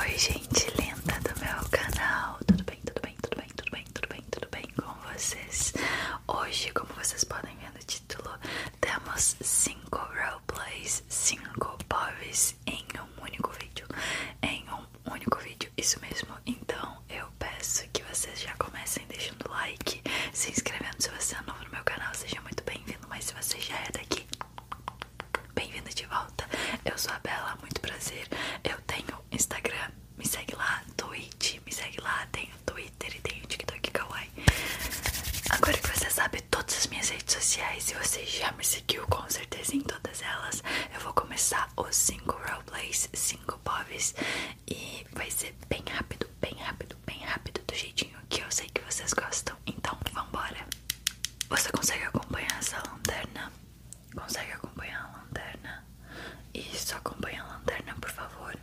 Oi gente linda do meu canal, tudo bem, tudo bem, tudo bem, tudo bem, tudo bem, tudo bem com vocês? Hoje, como vocês podem ver no título, temos 5 roleplays, 5 POVs em um único vídeo, em um único vídeo, isso mesmo, então eu peço que vocês já comecem deixando like, se inscrevendo se você é novo no meu canal, seja muito bem-vindo, mas se você já é daqui, bem vinda de volta. Eu sou a Bela, muito prazer. Eu tenho Instagram, me segue lá, Twitch, me segue lá, tenho Twitter e tenho TikTok Kawaii. Agora que você sabe todas as minhas redes sociais e você já me seguiu com certeza em todas elas, eu vou começar os 5 roleplays, 5 povs e vai ser bem rápido, bem rápido, bem rápido, do jeitinho que eu sei que vocês gostam. Então, vambora! Você consegue acompanhar essa lanterna? Consegue acompanhar a lanterna? Isso, acompanha a lanterna, por favor.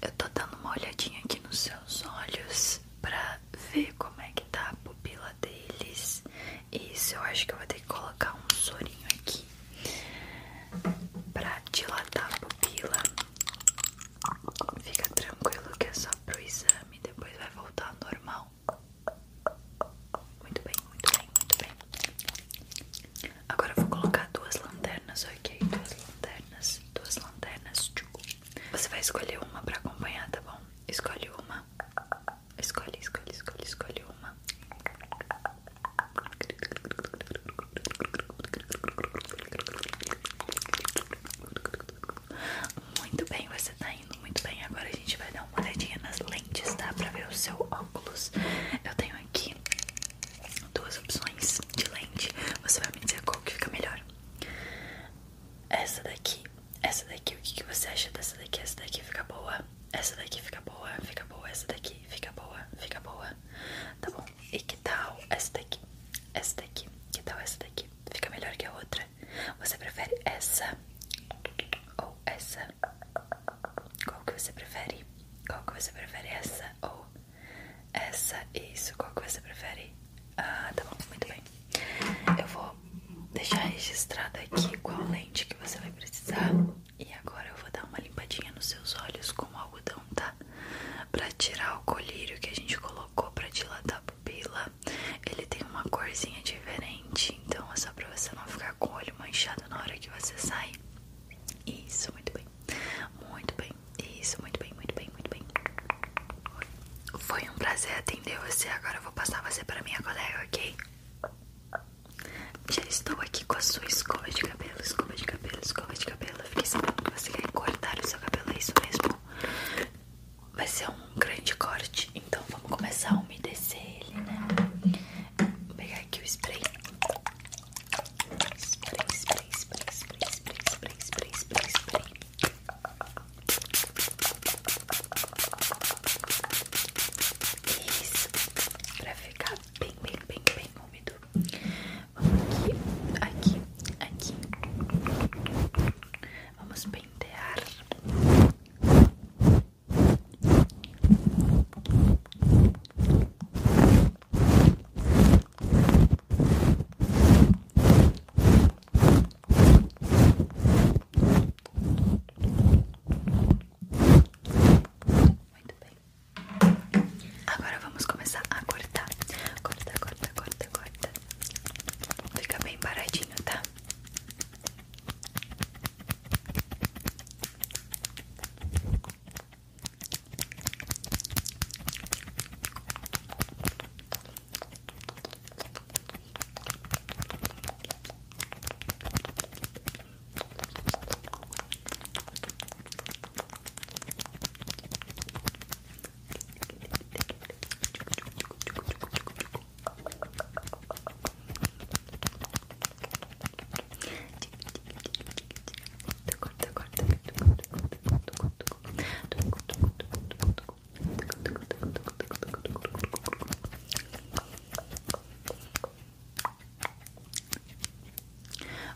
Eu tô dando uma olhadinha aqui nos seus olhos pra ver como é que tá a pupila deles. Isso, eu acho que eu vou ter que colocar um sorinho aqui pra dilatar a pupila. Fica tranquilo que é só pro exame, depois vai voltar normal. Muito bem, muito bem, muito bem. Agora eu vou colocar duas lanternas, ok? Duas lanternas, duas lanternas. Você vai escolher uma pra acompanhar, tá bom? Escolhe uma. Escolhe, escolhe, escolhe, escolhe uma. Muito bem, você tá indo muito bem. Agora a gente vai dar uma olhadinha nas lentes, tá? Pra ver o seu óculos. Eu tenho aqui duas opções de lente. Você vai me dizer qual que fica melhor. Essa daqui, essa daqui, o que, que você acha dessa daqui? Essa daqui fica boa. Essa daqui fica boa, fica boa, essa daqui fica boa, fica boa. Tá bom. E que tal essa daqui? Essa daqui, que tal essa daqui? Fica melhor que a outra? Você prefere essa ou essa? Qual que você prefere? Qual que você prefere? Essa ou essa? Isso, qual que você prefere? Ah, tá bom, muito bem. Eu vou deixar registrado aqui qual lente que você vai precisar. E agora eu vou dar uma limpadinha nos seus olhos com algodão, tá? Pra tirar o colírio que a gente colocou pra dilatar ele tem uma corzinha diferente, então é só pra você não ficar com o olho manchado na hora que você sai. Isso, muito bem, muito bem, isso, muito bem, muito bem, muito bem. Foi um prazer atender você. Agora eu vou passar você pra minha colega, ok? Já estou aqui com a sua escova de cabelo, escova de cabelo, escova de cabelo. fiquei sabendo que você quer cortar o seu cabelo, é isso mesmo? vai ser um grande corte, então vamos começar a umedecer ele, né? Vou pegar aqui o spray. Spray, spray, spray, spray, spray, spray, spray, Isso, pra ficar bem, bem, bem, bem úmido. Vamos aqui, aqui, aqui. Vamos pentear. Muito bem. Agora vamos começar a cortar. Corta, corta, corta, corta. Fica bem paradinho, tá?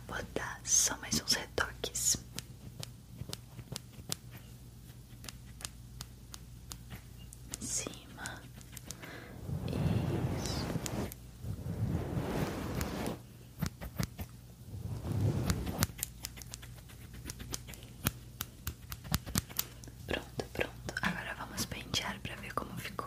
Vou dar só mais uns retoques cima, Pronto, pronto. Agora vamos pentear para ver como ficou.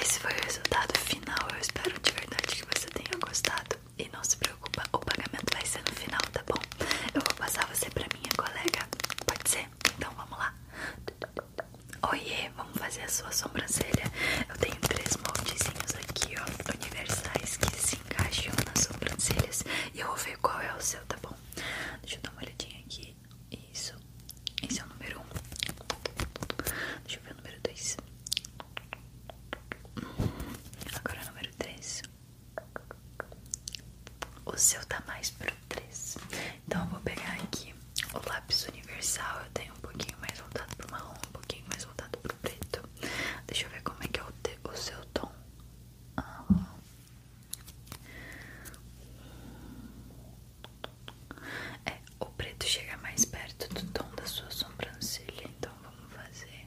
Esse foi o resultado final. Eu espero de verdade que você tenha gostado. E não se preocupa, o pagamento vai ser no final, tá bom? Eu vou passar você pra minha colega. Pode ser? Então vamos lá. Oiê, vamos fazer a sua sobrancelha. Eu tenho três moldezinhos aqui, ó, universais que se encaixam nas sobrancelhas. E eu vou ver qual é o seu, tá bom? Deixa eu dar uma olhadinha aqui. Isso. Esse é o número 1. Um. Deixa eu ver o número 2. Agora é o número 3. O seu tá mais pro 3. Então eu vou pegar aqui o lápis universal. Eu tenho um pouquinho mais voltado pro marrom, um pouquinho mais voltado pro preto. Deixa eu ver como é que é o, o seu tom. Ah, é, o preto chega mais perto do tom da sua sobrancelha, então vamos fazer.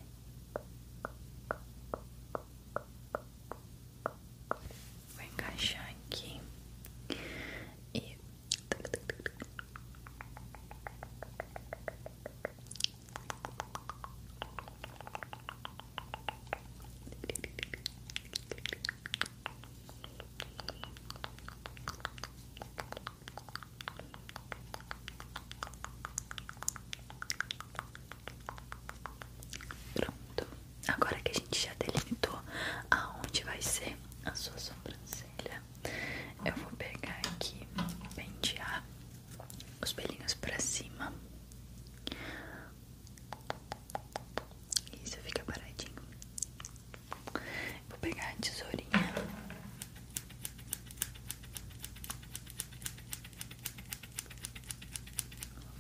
Vou encaixar aqui e Pronto, agora que a gente já delimitou aonde vai ser a sua sobrancelha, eu vou pegar aqui, pentear os pelinhos pra cima isso fica paradinho. Vou pegar a tesourinha.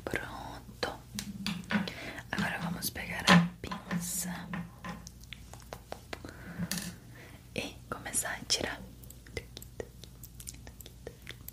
Pronto. Agora vamos pegar a pinça e começar a tirar. Tuki, tuki, tuki,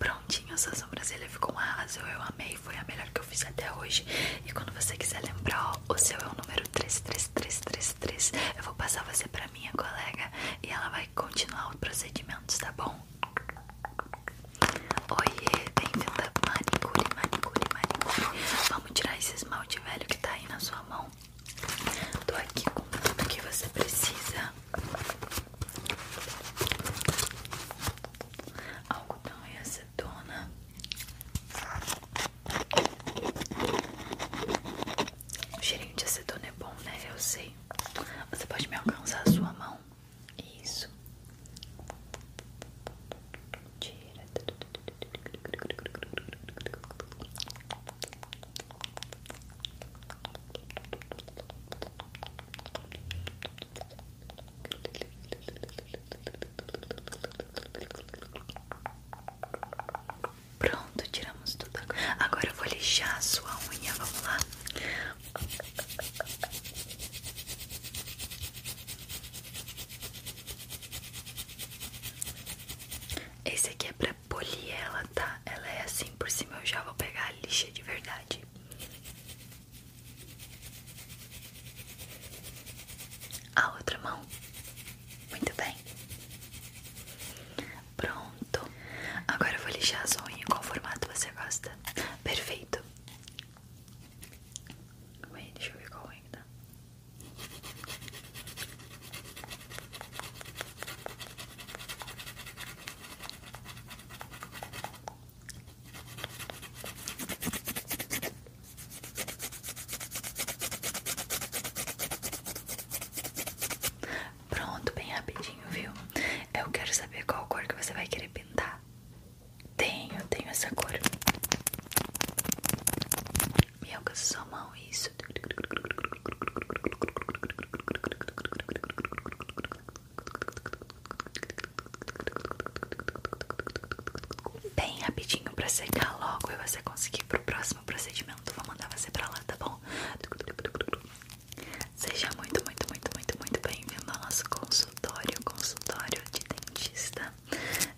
Prontinho, sua sobrancelha ficou um arraso. Eu amei, foi a melhor que eu fiz até hoje. E quando você quiser lembrar, ó, o seu é o número 33333. Eu vou passar você pra minha colega e ela vai continuar o procedimento tá bom? Oiê, bem-vindo a manicure, manicure, manicure. Vamos tirar esse esmalte velho que tá aí na sua mão. Tô aqui com tudo que você precisa. Algodão e acetona. O cheirinho de acetona é bom, né? Eu sei. Você pode me alcançar a sua mão. Isso. Tira. Pronto, tiramos tudo. Agora eu vou lixar a sua unha. Vamos lá. Esse aqui é pra polir ela, tá? Ela é assim por cima, eu já vou pegar a lixa de verdade. A outra mão. Muito bem. Pronto. Agora eu vou lixar a sua Qual formato você gosta? Perfeito. Wait, should we go like Pronto, bem rapidinho, viu? Eu quero saber qual cor que você vai querer pintar. Tenho, tenho essa cor. Me alcança sua mão, isso. Bem rapidinho pra secar logo e você conseguir pro próximo procedimento. Vou mandar você pra lá, tá bom? Seja muito, muito, muito, muito, muito bem-vindo ao nosso consultório consultório, de dentista.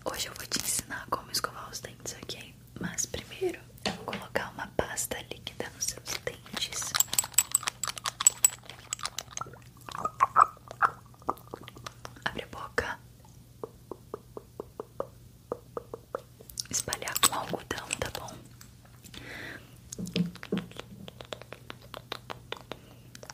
Hoje eu vou te ensinar como escovar os dentes, ok? Mas primeiro eu vou colocar uma pasta líquida nos seus dentes. Abre a boca. Espalhar com algodão, tá bom?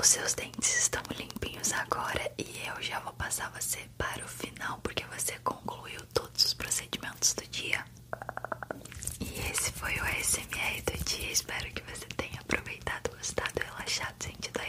Os seus dentes estão limpinhos agora e eu já vou passar você para o final porque você concluiu todos os procedimentos do dia. E esse foi o SMR do dia. Espero que você tenha aproveitado, gostado, relaxado, sentido aí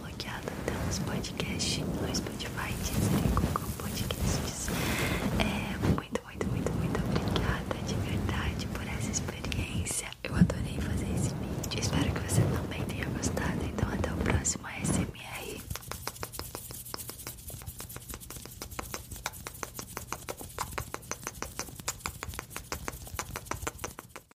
bloqueada. Temos podcast no Spotify, é, muito, muito, muito, muito obrigada de verdade por essa experiência. Eu adorei fazer esse vídeo. Espero que você também tenha gostado. Então, até o próximo ASMR.